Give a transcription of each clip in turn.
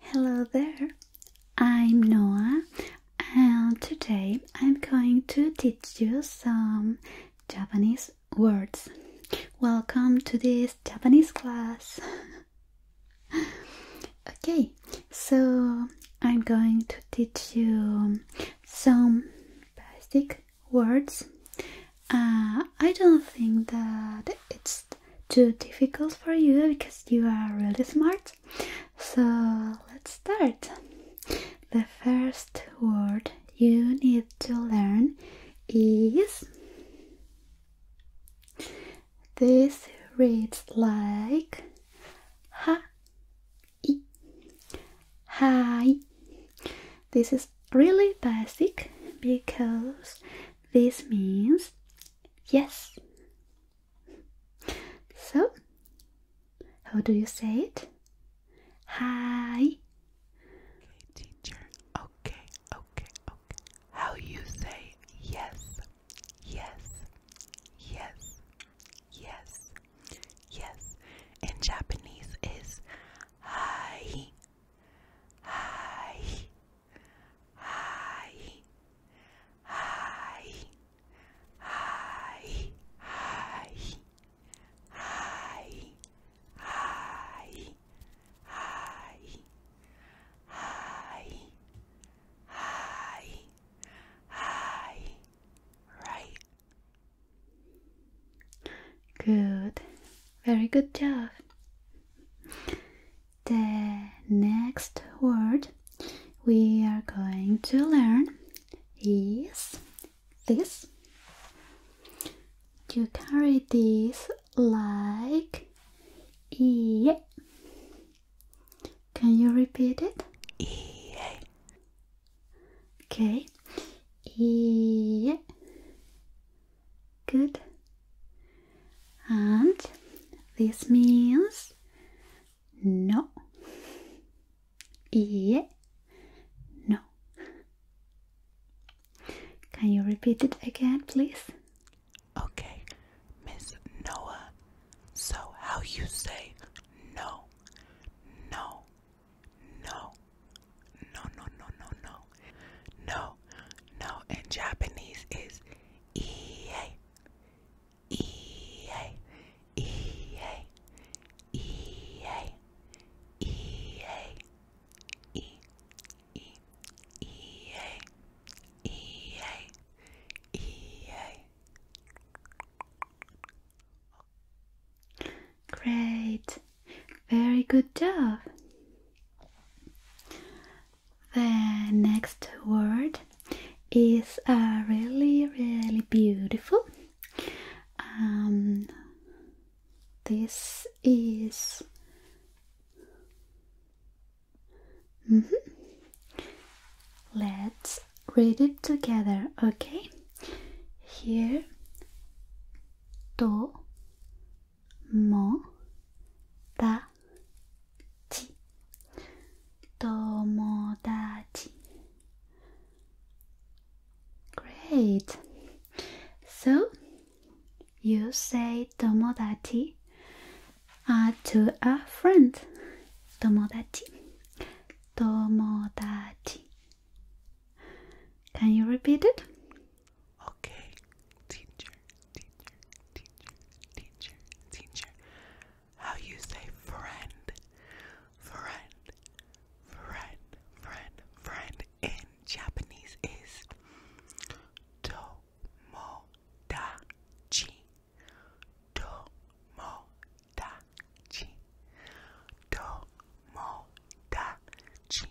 Hello there, I'm Noah, and today I'm going to teach you some Japanese words. Welcome to this Japanese class! okay, so I'm going to teach you some basic words uh, I don't think that it's too difficult for you because you are really smart. So let's start. The first word you need to learn is this reads like ha hi. This is really basic because this means yes. So, how do you say it? Hi. Okay, teacher. Okay, okay, okay. How you say yes, yes, yes, yes, yes. In Japanese is hi, hi, Hi. Hi. Hi. Hi. Hi. Hi. Hi. Hi. Hi. Hi. Right. Good. Very good job. The next word we are going to learn is this. You carry this like E. Can you repeat it? E. Okay. E. Good. And this means no. Yeah. No. Can you repeat it again, please? Okay, Miss Noah. So, how you say no, no, no, no, no, no, no, no. No, no. In Japanese is EA. EA. EA. EA. EA. E. E. EA. EA. EA. Great. Very good job. The next word is a uh, really, really beautiful. Um, this is. Mm-hmm. Let's read it together, okay? Here, do, もだち友達 Great! So you say tomodachi uh, to a friend. Tomodachi. Tomodachi. Can you repeat it? Okay, teacher, teacher, teacher, teacher, teacher. How you say friend, friend, friend, friend, friend in Japanese is tomodachi, tomodachi, tomodachi,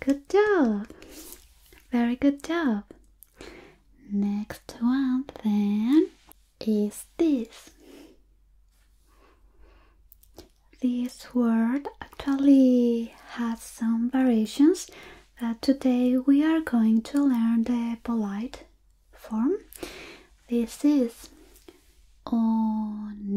Good job! Very good job! Next one then is this. This word actually has some variations, but today we are going to learn the polite form. This is one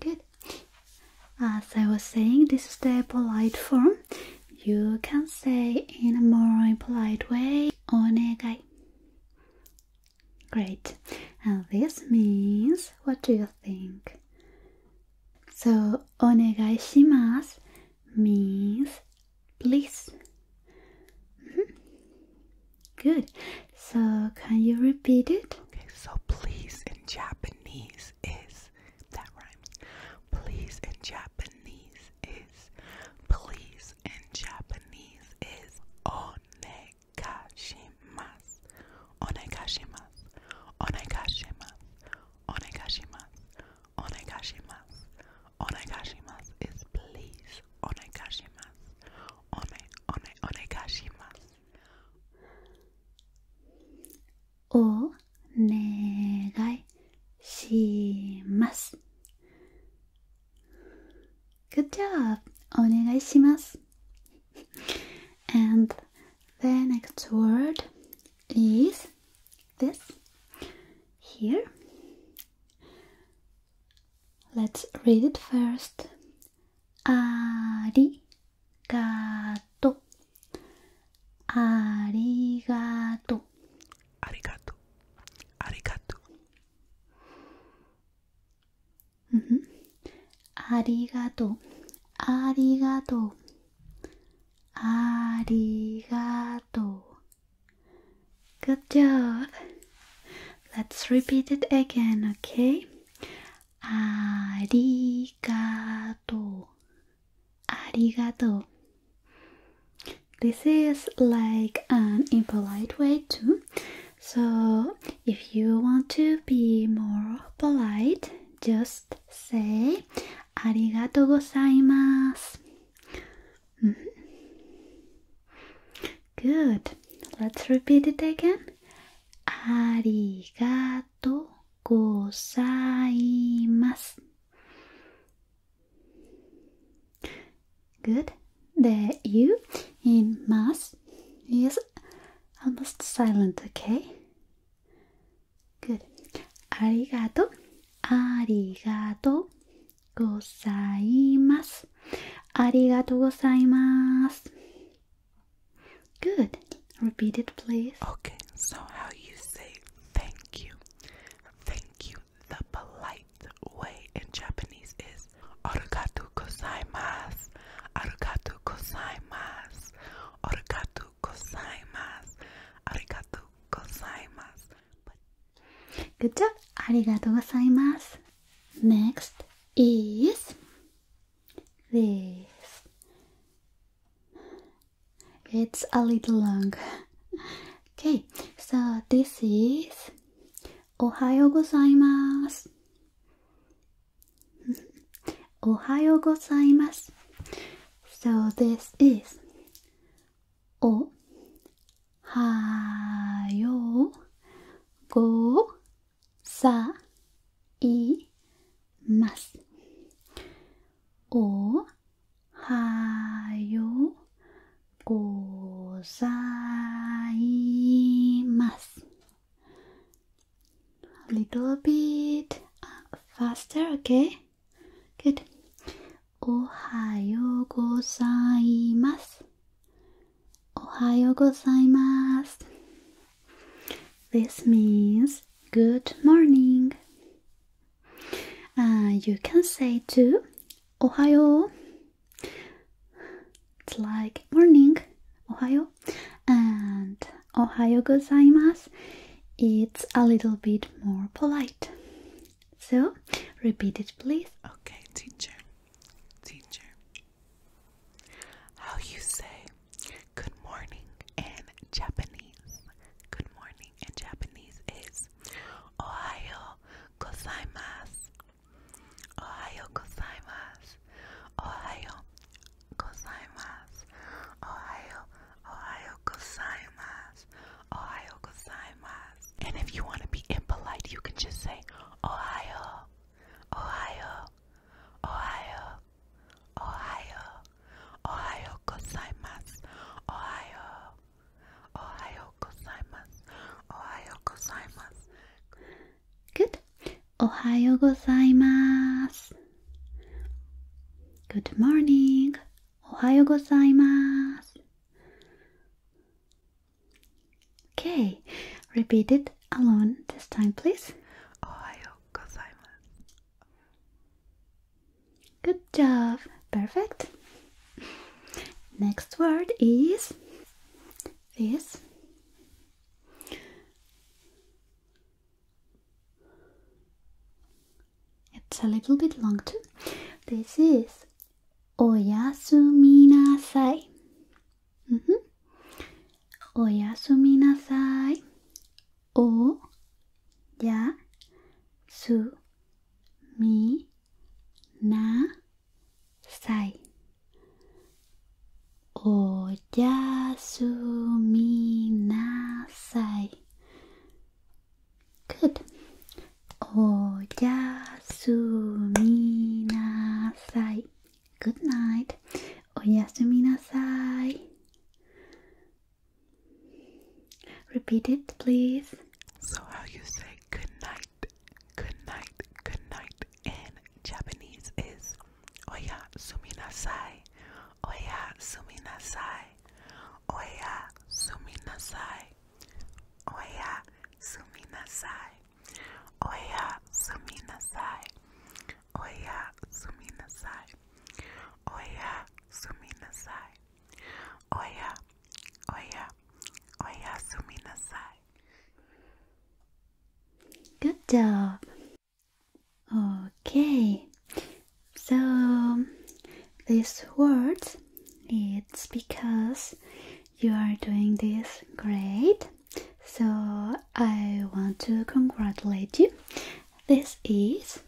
Good. As I was saying, this is the polite form. You can say in a more polite way, onegai. Great. And this means, what do you think? So, onegai shimasu means please. Mm-hmm. Good. So, can you repeat it? Okay, so please in Japanese is that rhymes. Please in Japanese is please in Japanese is onegashimasu. Onegashimasu. Onegashimasu. Onegashimasu. Onegashimasu. Onegashimasu is please. Onegashimasu. One one onegashimasu. お願いします Good job! お願いします And the next word is this here. Let's read it first. 아리가또 아리가또 아리가또 아리가또 아리가또 아리가또 아리가또 Good job! Let's repeat it again, okay? arigato, arigato. This is like an impolite way too. So, if you want to be more polite, just say arigato gozaimasu. Mm-hmm. Good. Let's repeat it again. ありがとうございます。Good. The U in mas is almost silent, okay? Good. ありがとう。ありがとうございます。ありがとうございます。Good. Repeat it, please. Okay, so how you say thank you? Thank you. The polite way in Japanese is arigatou gozaimasu. Arigatou gozaimasu. Arigatou gozaimasu. Arigatou gozaimasu. Good job. Arigatou gozaimasu. Next is this. It's a little long. okay, so this is Ohayo gozaimasu. Ohayo gozaimasu. So this is Ohayo go さいますおはようございます A little bit uh, faster, okay? Good. おはようございます。Ohayo gozaimasu. This means good morning. Uh, you can say too Ohayo. It's like morning, Ohayo. And Ohayo gozaimasu, it's a little bit more polite. So, repeat it please. Okay, teacher. Teacher. How you say good morning in Japanese. Good morning in Japanese is Ohio gozaimasu. Ohio gozaimasu. Ohio gozaimasu. Ohio, Ohio gozaimasu. Ohio gozaimasu. And if you want to be impolite, you can just say Ohio Ohio, Ohio, Ohio, Ohio gozaimasu, Ohio, Ohio gozaimasu, Ohio gozaimasu. Good. Ohio gozaimasu. Good morning. Ohio gozaimasu. Okay, repeat it alone this time, please. Ohio gozaimasu. Good job. Perfect. Next word is this. It's a little bit long too. This is Oyasuminasai. おやすみなさい。おやすみなさい。おやすみなさい。good night, oyasuminasai. Oh, Repeat it, please. So, how you say good night, good night, good night in Japanese is oyasuminasai, oyasuminasai, oyasuminasai, oyasuminasai. Oya sumina nasai. Oya sumina nasai. Oya sumi nasai. Oya, oya, oya sumi nasai. Good job. Okay. So this word it's because you are doing this great. So, I want to congratulate you. This is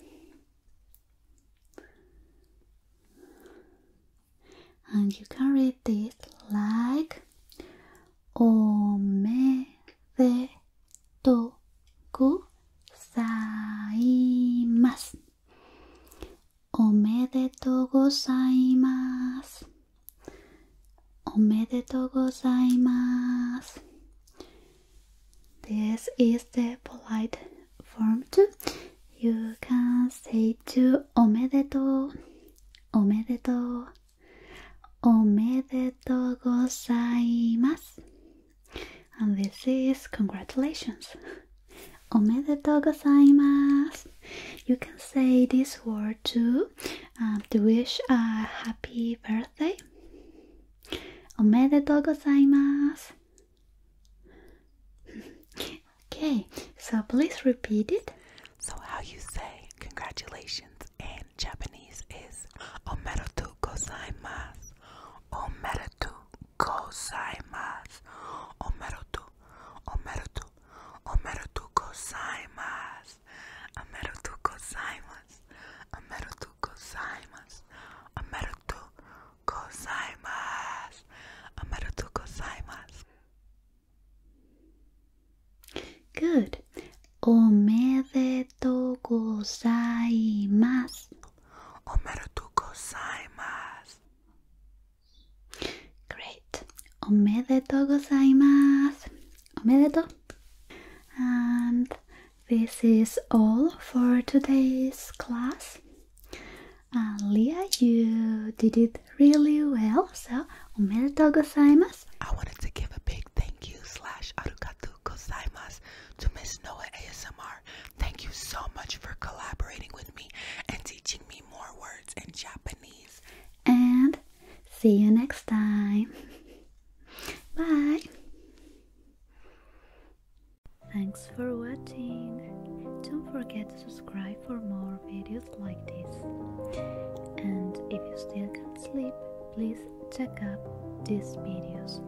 and you can read this like Omedetou gozaimasu おめでとうございますおめでとうございます This is the polite form too You can say to おめでとうおめでとうおめでとうございます And this is congratulations Omedetou You can say this word too um, to wish a happy birthday. Omedetou Okay, so please repeat it. So how you say congratulations in Japanese is Omedetou gozaimasu. Omedetou gozaimasu. Omeru tu tu gozaimasu. Omeru tu gozaimasu. Omeru tu gozaimasu. Omeru tu gozaimasu. Good. tu gozaimasu. Great. Omedetou gozaimasu. Omedetou. And this is all for today's class. Leah, uh, you did it really well. So, omedetou gozaimasu. I wanted to give a big thank you slash arigatou gozaimasu to Miss Noah ASMR. Thank you so much for collaborating with me and teaching me more words in Japanese. And see you next time. Bye. Thanks for watching. Don't forget to subscribe for more videos like this. And if you still can't sleep, please check out these videos.